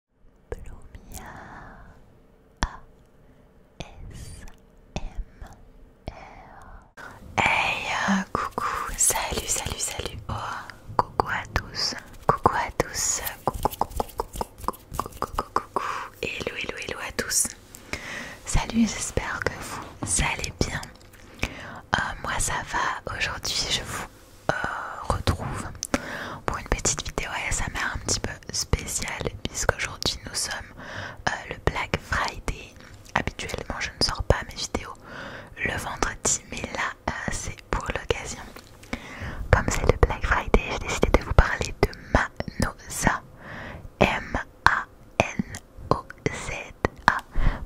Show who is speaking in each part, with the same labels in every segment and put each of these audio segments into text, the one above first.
Speaker 1: S ASMR Hey euh, coucou, salut, salut, salut Oh, coucou à tous, coucou à tous, coucou, coucou, coucou, coucou, coucou, coucou Hello, hello, hello à tous Salut, j'espère que vous allez bien euh, Moi ça va, aujourd'hui je vous euh, retrouve pour une petite vidéo m'a un petit peu spéciale puisqu'aujourd'hui nous sommes euh, le Black Friday. Habituellement je ne sors pas mes vidéos le vendredi mais là euh, c'est pour l'occasion. Comme c'est le Black Friday j'ai décidé de vous parler de Manosa. M-A-N-O-Z-A.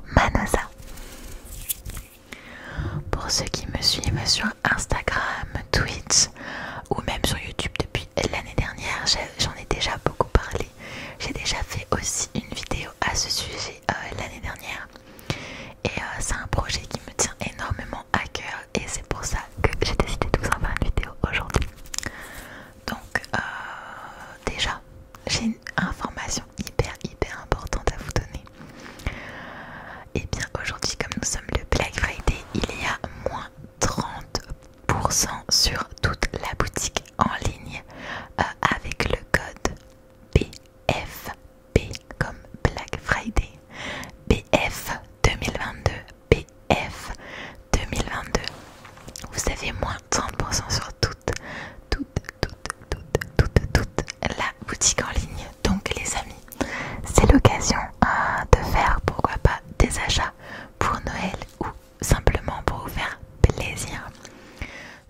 Speaker 1: Manosa. Pour ceux qui me suivent sur Instagram, Twitch ou même sur YouTube depuis l'année dernière, j'en ai, déjà beaucoup parlé. J'ai déjà fait aussi une vidéo à ce sujet euh, l'année dernière. Et euh, c'est un projet qui me tient énormément à cœur et c'est pour ça que j'ai décidé de vous en faire une vidéo aujourd'hui. Donc euh, déjà, j'ai une information hyper hyper importante à vous donner. Et eh bien aujourd'hui, comme nous sommes le Black Friday, il y a moins 30% sur toute la boutique en ligne euh, avec le code BFB comme Black Friday. BF 2022. BF 2022. Vous avez moins 30% sur toutes toute, toute, toute, toute, toute, toute la boutique en ligne. Donc les amis, c'est l'occasion hein, de faire pourquoi pas des achats pour Noël ou simplement pour vous faire plaisir.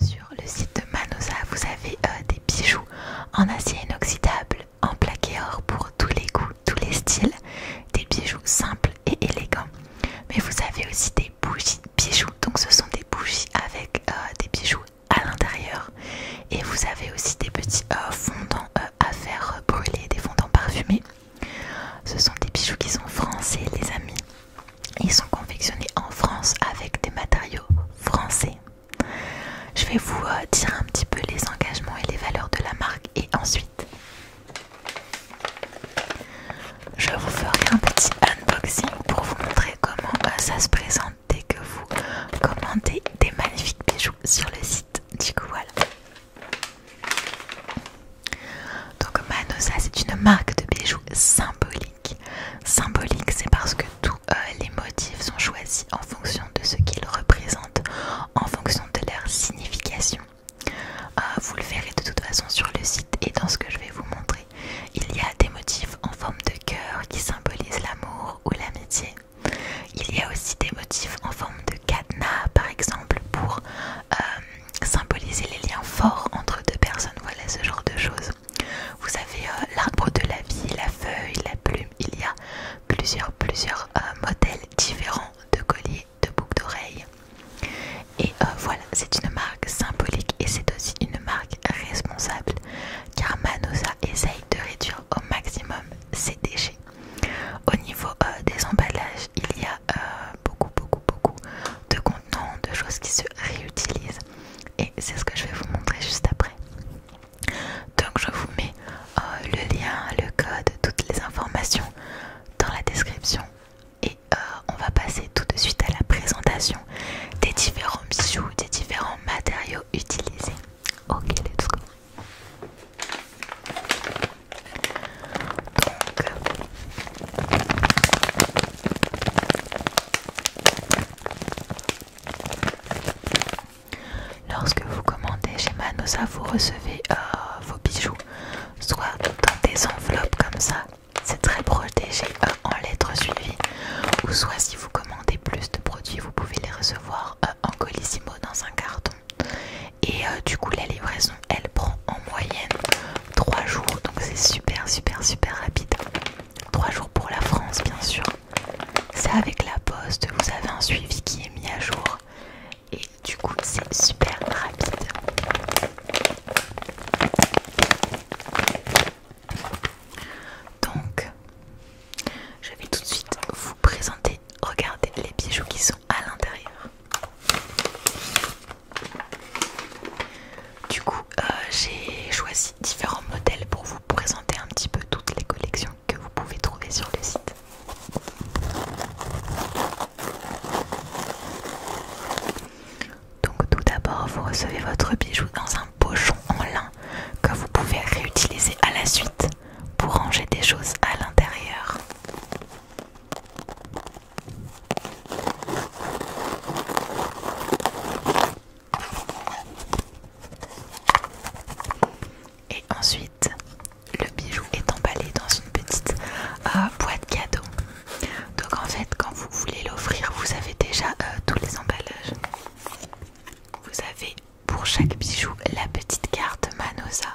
Speaker 1: Sur le site de Manosa, vous avez euh, des bijoux en acier inoxydable, en plaqué or pour tous les goûts, tous les styles, des bijoux simples et élégants. Mais vous avez aussi des bougies bijoux, donc ce sont des bougies avec euh, des bijoux à l'intérieur et vous avez aussi des petits euh, fondants euh, à faire brûler, des fondants parfumés. Ce sont des bijoux qui sont français les amis. Ils sont confectionnés en France avec des matériaux français. Je vais vous euh, dire un petit peu les engagements et les valeurs de la marque et ensuite je vous ferai un petit unboxing pour vous montrer comment ça se présente dès que vous commandez des magnifiques bijoux sur le site. Du coup, voilà. Donc, Manosa, c'est une marque de bijoux symbolique. Symbolique, c'est parce que tous euh, les motifs sont choisis en fonction de ce qu'ils représentent, en fonction de leur signification. Euh, vous le verrez de toute façon sur le site et dans ce que je vais vous montrer. Il y a des motifs en forme de cœur qui symbolisent l'amour ou l'amitié. Il y a aussi des motifs en forme de cadenas, par exemple, pour euh, symboliser les liens forts entre deux personnes. Voilà ce genre de choses. Vous avez euh, l'arbre de la vie, la feuille, la plume. Il y a plusieurs, plusieurs euh, modèles différents de colliers, de boucles d'oreilles. Et voilà, c'est une marque symbolique et c'est aussi une marque responsable car Manosa essaye de réduire au maximum ces déchets. Au niveau euh, des emballages, il y a euh, beaucoup, beaucoup, beaucoup de contenants, de choses qui se réutilisent et c'est ce que je vais vous montrer juste après. Donc je vous mets euh, le lien, le code, toutes les informations dans la description et on va passer tout de suite à la présentation des différents bijoux, des différents matériaux utilisés. Ok, let's go. Donc, lorsque vous commandez chez Manosa, vous recevez euh, vos bijoux soit dans des enveloppes comme ça, c'est très protégé euh, en lettres suivies, ou soit si vous commandez plus de produits, vous pouvez les recevoir euh, en colissimo dans un carton. Et euh, du coup, la livraison, elle prend en moyenne 3 jours. Donc c'est super, super, super rapide. 3 jours pour la France, bien sûr. C'est avec la poste, vous avez un suivi qui est mis à jour. Et du coup, c'est super rapide. Donc, je vais tout de suite vous présenter, regardez les bijoux qui sont à l'intérieur. Du coup, euh, j'ai choisi différents modèles pour vous présenter un petit peu toutes les collections que vous pouvez trouver sur le site. Donc tout d'abord, vous recevez votre bijou dans un pochon en lin que vous pouvez réutiliser à la suite pour ranger des choses à l'intérieur. Et ensuite, le bijou est emballé dans une petite euh, boîte cadeau. Donc en fait, quand vous voulez l'offrir, vous avez déjà euh, tous les emballages. Vous avez pour chaque bijou la petite carte Manosa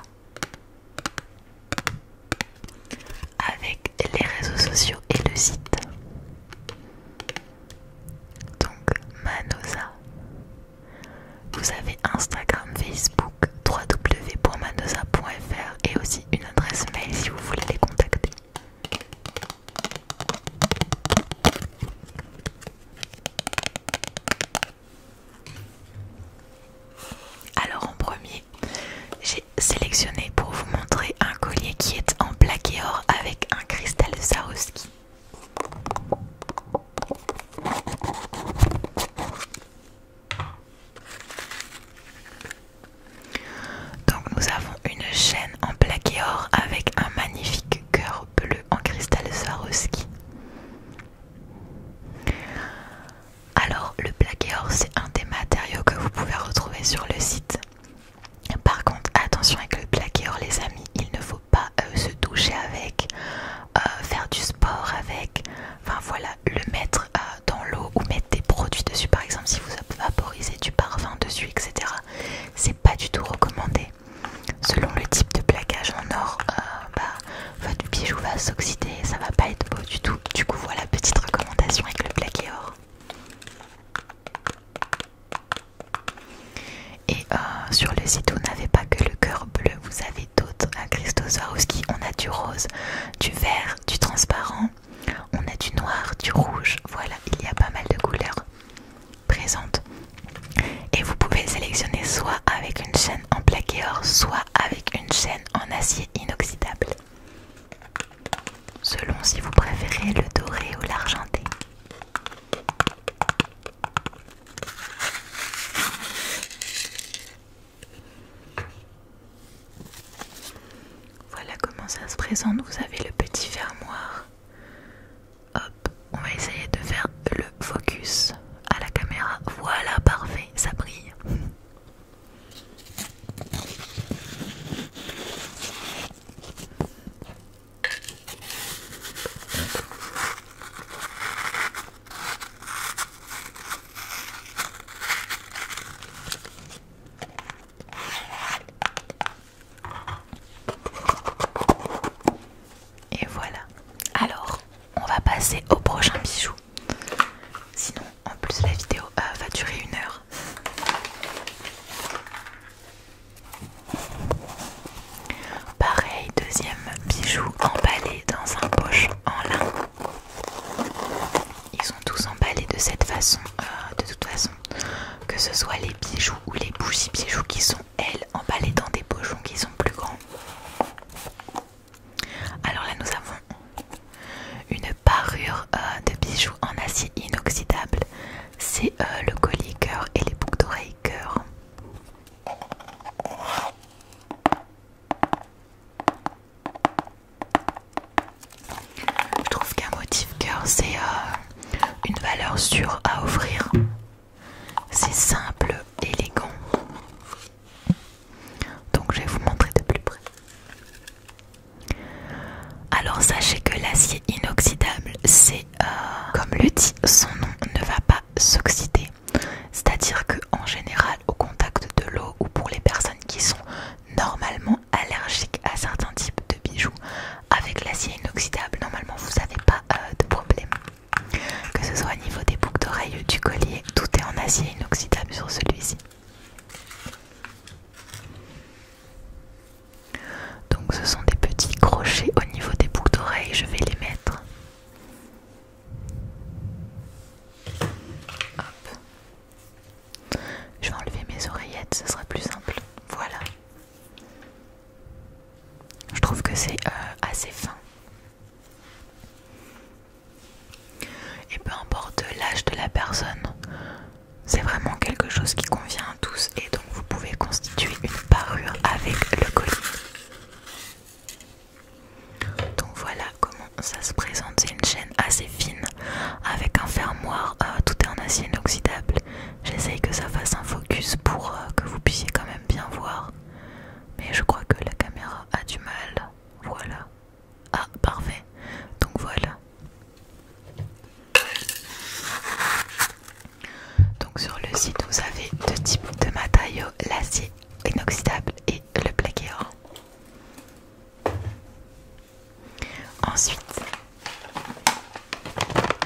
Speaker 1: avec les réseaux sociaux et le site. Donc Manosa. Vous avez Instagram, Facebook, www.manosa.fr et aussi une adresse mail si vous voulez les contacter. Alors en premier, j'ai sélectionné pour vous montrer un collier qui est en plaqué or avec un cristal de Donc nous avons une chaîne en plaqué or avec un magnifique cœur bleu en cristal Swarovski. Alors, le plaqué or, c'est un des matériaux que vous pouvez retrouver sur le site. Par contre, attention avec le plaqué les amis, il ne faut pas euh, se toucher avec, euh, faire du sport avec, enfin voilà, le mettre euh, dans l'eau ou mettre des produits dessus. Par exemple, si vous vaporisez du parfum dessus, etc., c'est pas du tout recommandé. Selon le type de plaquage en or, euh, bah, votre bijou va s'oxyder ça va pas être beau du tout. Du coup, voilà petite recommandation avec le plaqué or. Et euh, sur le site, vous n'avez pas que le cœur bleu, vous avez d'autres. À Christos Swarovski, on a du rose, du vert, du transparent, on a du noir, du rouge. Voilà, il y a pas mal de couleurs présente. Et vous pouvez sélectionner soit avec une chaîne en plaqué or, soit avec une chaîne en acier inoxydable. Selon si vous préférez le doré ou l'argenté. Voilà comment ça se présente. Vous avez le petit fermoir Hop, on va essayer de faire le focus à la caméra. Voilà, parfait, ça brille. Et voilà. Alors, on va passer au prochain bijou. Sinon, en plus, la vidéo euh, va durer une heure. Pareil, deuxième bijou emballé dans un poche en lin. Ils sont tous emballés de cette façon, euh, de toute façon que ce soit les bijoux ou les bougies bijoux qui sont elles emballées dans des pochons qui sont plus grands. Alors là nous avons une parure euh, de bijoux en acier inoxydable. C'est euh, le collier cœur et les boucles d'oreilles cœur. Je trouve qu'un motif cœur c'est euh, une valeur sûre à offrir. C'est simple, élégant. Donc je vais vous montrer de plus près. Alors sachez que l'acier inoxydable, c'est euh, comme le son nom, ne va pas s'oxyder. C'est-à-dire que en général, au contact de l'eau ou pour les personnes qui sont normalement allergiques à certains types de bijoux, avec l'acier inoxydable, normalement vous n'avez pas euh, de problème. Que ce soit au niveau des boucles d'oreilles ou du collier, tout est en acier inoxydable sur celui-ci. Donc ce sont des petits crochets au niveau des boucles d'oreilles, je vais les mettre. Je vais enlever mes oreillettes, ce sera plus simple. Voilà. Je trouve que c'est euh, assez fin. Et peu importe l'âge de la personne, c'est vraiment quelque chose qui convient à tous et donc vous pouvez constituer une parure avec le colis. Donc voilà comment ça se présente, c'est une chaîne assez fine avec un fermoir, euh, tout est en acier inoxydable J'essaye que ça fasse un focus pour euh, que vous puissiez quand même bien voir. Mais je crois que la caméra a du mal. Voilà. Ah, parfait. Donc voilà. Donc sur le site, vous avez deux types de matériaux, l'acier inoxydable et le plaqué or. Ensuite,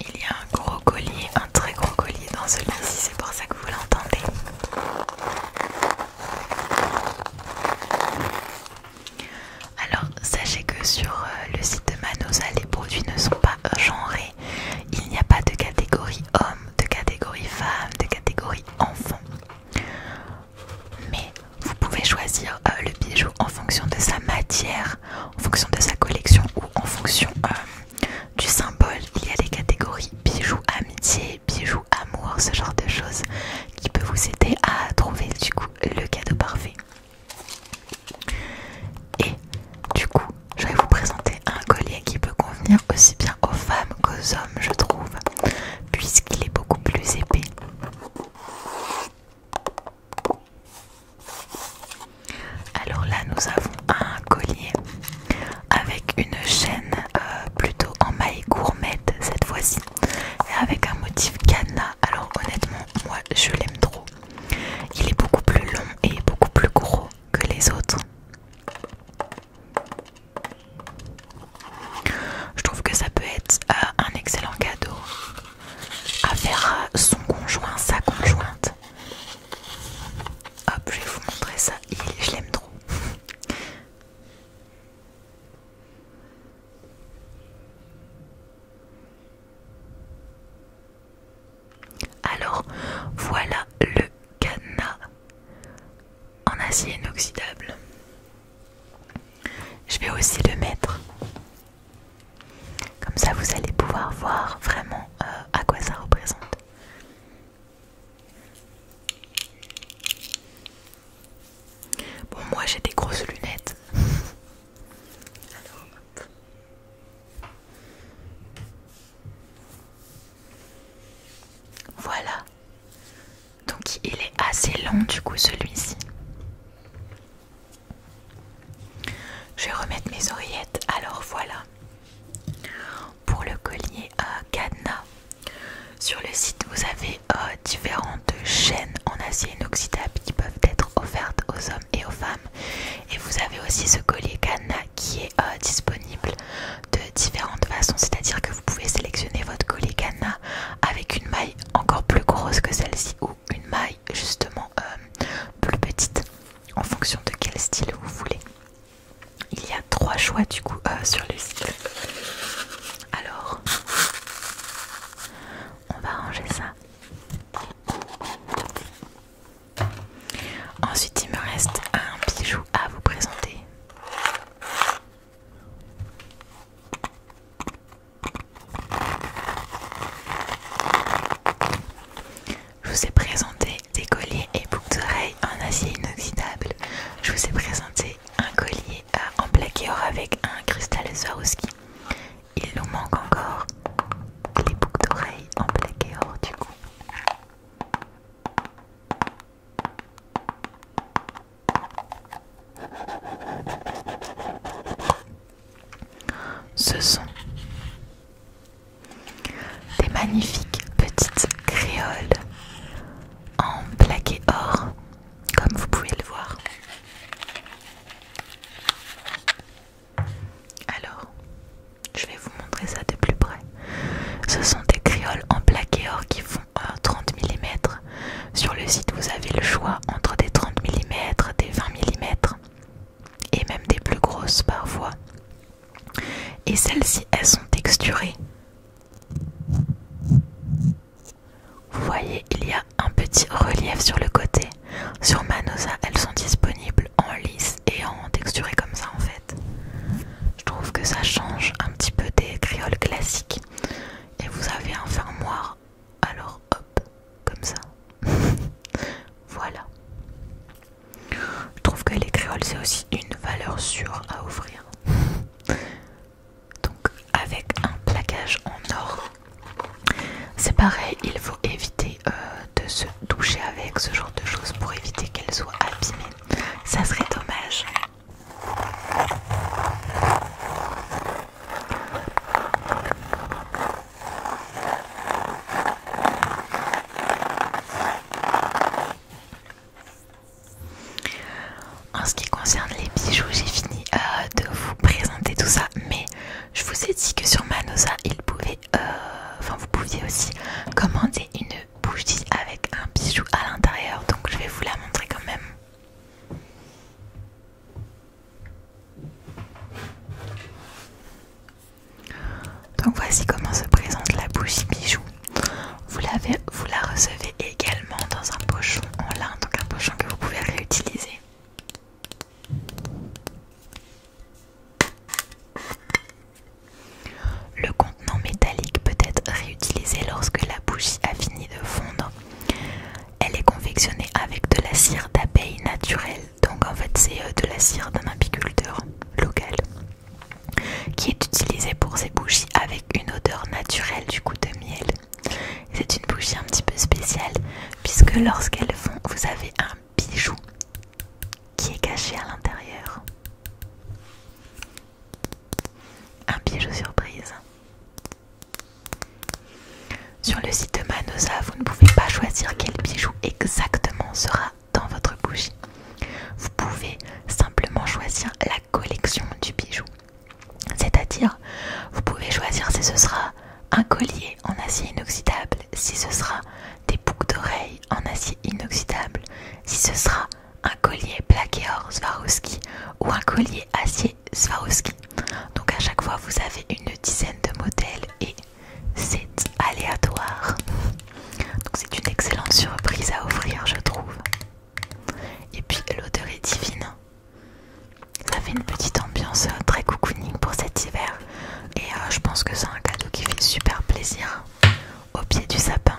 Speaker 1: Il y a un gros collier, un très gros collier dans celui-ci, c'est pour ça que vous l'entendez. Alors, sachez que sur euh, le site de Manosa, les produits ne sont pas genrés. Il n'y a pas de catégorie homme, de catégorie femme, de catégorie enfant. Mais vous pouvez choisir euh, le bijou en fonction de sa matière, en fonction de sa collection ou en fonction euh, du symbole. Il y a les catégories bijoux amitié, bijoux amour, ce genre de choses qui peut vous aider à trouver du coup le cadeau parfait. Et du coup, je vais vous présenter un collier qui peut convenir aussi bien aux femmes qu'aux hommes, je trouve, puisqu'il est beaucoup plus épais. Alors là, nous avons un collier avec une chaîne euh, plutôt en maille gourmette cette fois-ci, et avec un motif canna. Alors honnêtement, moi, je l'aime trop. Il est beaucoup plus long et beaucoup plus gros que les autres. Je trouve que ça peut être euh, un excellent cadeau à faire son conjoint, sa conjointe. Hop, je vais vous montrer ça. Il, je l'aime trop. Alors voilà le cadenas en acier inoxydable. Je vais aussi le mettre. Comme ça vous allez pouvoir voir vraiment euh, à quoi ça représente. Bon moi j'ai des grosses lunettes. Voilà. Donc il est assez long du coup celui-ci. Je vais remettre mes oreillettes. Alors voilà. Pour le collier à cadenas. Sur le site, vous avez euh, différentes chaînes en acier inoxydable qui peuvent être offertes aux hommes et aux femmes. Et vous avez aussi ce collier canna qui est euh, disponible de différentes façons, c'est-à-dire que vous pouvez sélectionner votre collier canna avec une maille encore plus grosse que celle-ci ou une maille justement euh, plus petite en fonction de quel style vous voulez. Il y a trois choix du coup euh, sur le site. Alors, on va ranger ça. Ensuite, il me reste un bijou à vous présenter. Je vous ai présenté des colliers et boucles d'oreilles en acier inoxydable. Je vous ai présenté un collier euh, en plaqué or avec un cristal Swarovski il nous manque encore les boucles d'oreilles en plaqué or, du coup. Ce sont des magnifiques petites créoles en plaqué or, comme vous pouvez le voir. Alors, je vais vous montrer ça de plus près. Ce sont des créoles en plaqué or qui font 30 mm. Sur le site, vous avez le choix entre des 30 mm, des 20 mm et même des plus grosses parfois. Et celles-ci, elles sont texturées. Vous voyez, il y a un petit relief sur le côté. Sur Manosa, elles sont disponibles en lisse et en texturé comme ça en fait. Je trouve que ça change un petit peu des créoles classiques. Et vous avez un fermoir, alors hop, comme ça. voilà. Je trouve que les créoles c'est aussi une valeur sûre à offrir. Donc avec un plaquage en or, c'est pareil, il faut éviter de euh, de se toucher avec ce genre de choses pour éviter qu'elles soient abîmées. Ça serait dommage. En ce qui concerne les bijoux, j'ai fini euh, de vous présenter tout ça, mais je vous ai dit que sur Manosa, il pouvait euh, enfin vous pouviez aussi commander une bougie avec un bijou à l'intérieur. Donc je vais vous la montrer quand même. Donc voici comment se présente la bougie bijou. Vous, vous la recevez également dans un pochon en lin, donc un pochon que vous pouvez réutiliser. Le contenant métallique peut être réutilisé lorsque la bougie a fini de fondre. Elle est confectionnée avec de la cire d'abeille naturelle, donc en fait c'est euh, de la cire d'un apiculteur local, qui est utilisée pour ces bougies avec une odeur naturelle du goût de miel. C'est une bougie un petit peu spéciale puisque lorsqu'elle fond, vous avez un bijou qui est caché à l'intérieur. Un bijou surprise. Sur le site de Manosa, vous ne pouvez pas choisir quel bijou exactement sera dans votre bougie. Vous pouvez simplement choisir la collection du bijou. C'est-à-dire, vous pouvez choisir si ce sera un collier en acier inoxydable, si ce sera des boucles d'oreilles en acier inoxydable, si ce sera un collier plaqué or Swarovski ou un collier acier Swarovski. Donc à chaque fois, vous avez une dizaine de modèles et c'est aléatoire. Donc c'est une excellente surprise à offrir, je trouve. Et puis l'odeur est divine. Ça fait une petite ambiance euh, très cocooning pour cet hiver et euh, je pense que c'est un cadeau qui fait super plaisir au pied du sapin.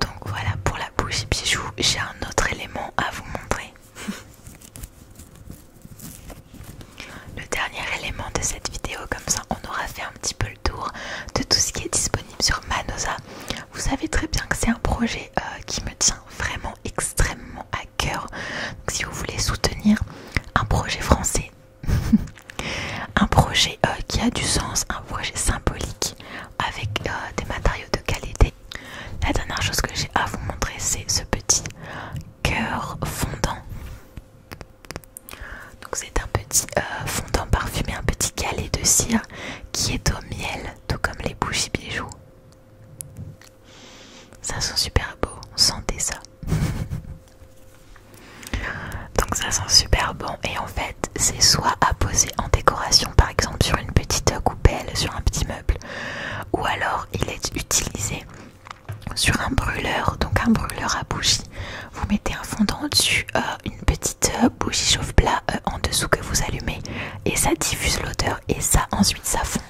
Speaker 1: Donc voilà pour la bougie bijoux j'ai un autre élément à vous montrer. Le dernier élément de cette vidéo, comme ça on aura fait un petit peu le tour de tout ce qui est disponible sur Manosa. Vous savez très bien que c'est un projet euh, qui me tient vraiment extrêmement à cœur. Donc, si vous voulez soutenir un projet français, un projet euh, qui a du sens, un projet symbolique avec euh, des matériaux de qualité. La dernière chose que j'ai à vous montrer, c'est ce petit cœur fondant donc c'est un petit euh, fondant parfumé, un petit galet de cire qui est au miel, tout comme les bougies bijoux. Ça sent super beau, sentez ça. Donc ça sent super bon et en fait c'est soit à poser en décoration par exemple sur une petite coupelle, sur un petit meuble ou alors il est utilisé sur un brûleur, donc un brûleur à bougie, vous mettez un fondant dessus euh, une petite euh, bougie chauffe-plat euh, en dessous que vous allumez et ça diffuse l'odeur et ça ensuite ça fond.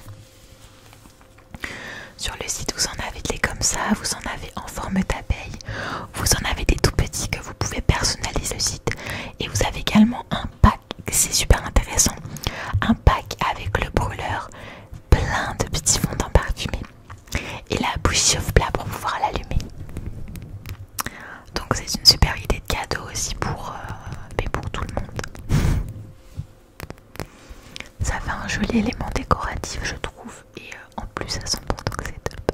Speaker 1: Sur le site vous en avez des comme ça, vous en avez en forme d'abeille, vous en avez des tout petits que vous pouvez personnaliser le site et vous avez également un pack, c'est super intéressant, un pack avec le brûleur plein de petits fondants parfumés et la bouche chauffe-plat pour pouvoir l'allumer. Donc c'est une super idée de cadeau aussi pour, euh, pour tout le monde. Ça fait un joli élément décoratif je trouve et euh, en plus ça sent bon donc c'est top.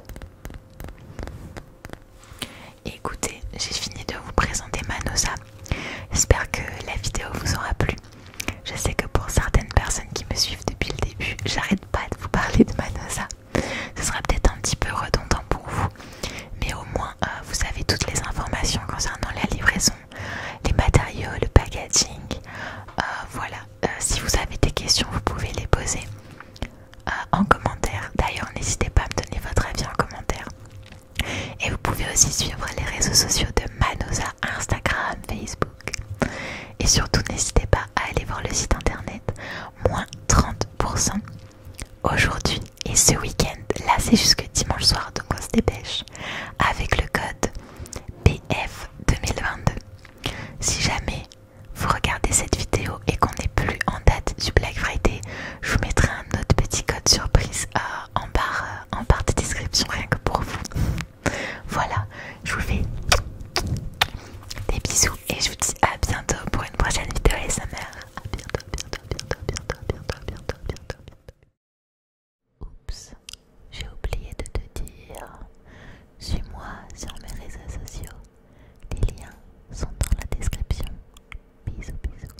Speaker 1: Écoutez, j'ai fini de vous présenter Manosa. J'espère que la vidéo vous aura plu. Je sais que pour certaines personnes qui me suivent depuis le début, j'arrête pas de vous parler de Manosa. Ce sera peut-être un petit peu redondant pour vous, mais au moins euh, vous avez toutes les informations concernant la livraison, les matériaux, le packaging. Euh, voilà, euh, si vous avez des questions, vous pouvez les poser en commentaire. D'ailleurs, n'hésitez pas à me donner votre avis en commentaire. Et vous pouvez aussi suivre les réseaux sociaux de Manosa Instagram, Facebook. Et surtout, n'hésitez pas à aller voir le site internet, moins 30% aujourd'hui et ce week-end. Là, c'est jusque dimanche soir, donc on se dépêche avec le code BF2022. Si jamais vous regardez cette vidéo et qu'on n'est plus en date du Black Friday, je vous mettrai un autre petit code surprise euh, en barre en partie de description rien que pour vous. voilà, je vous fais des bisous et je vous dis à bientôt pour une prochaine vidéo mère. À bientôt, bientôt, bientôt, bientôt, bientôt, bientôt, bientôt, bientôt. Oups, j'ai oublié de te dire. Suis-moi sur mes réseaux sociaux. Les liens sont dans la description. Bisous, bisous.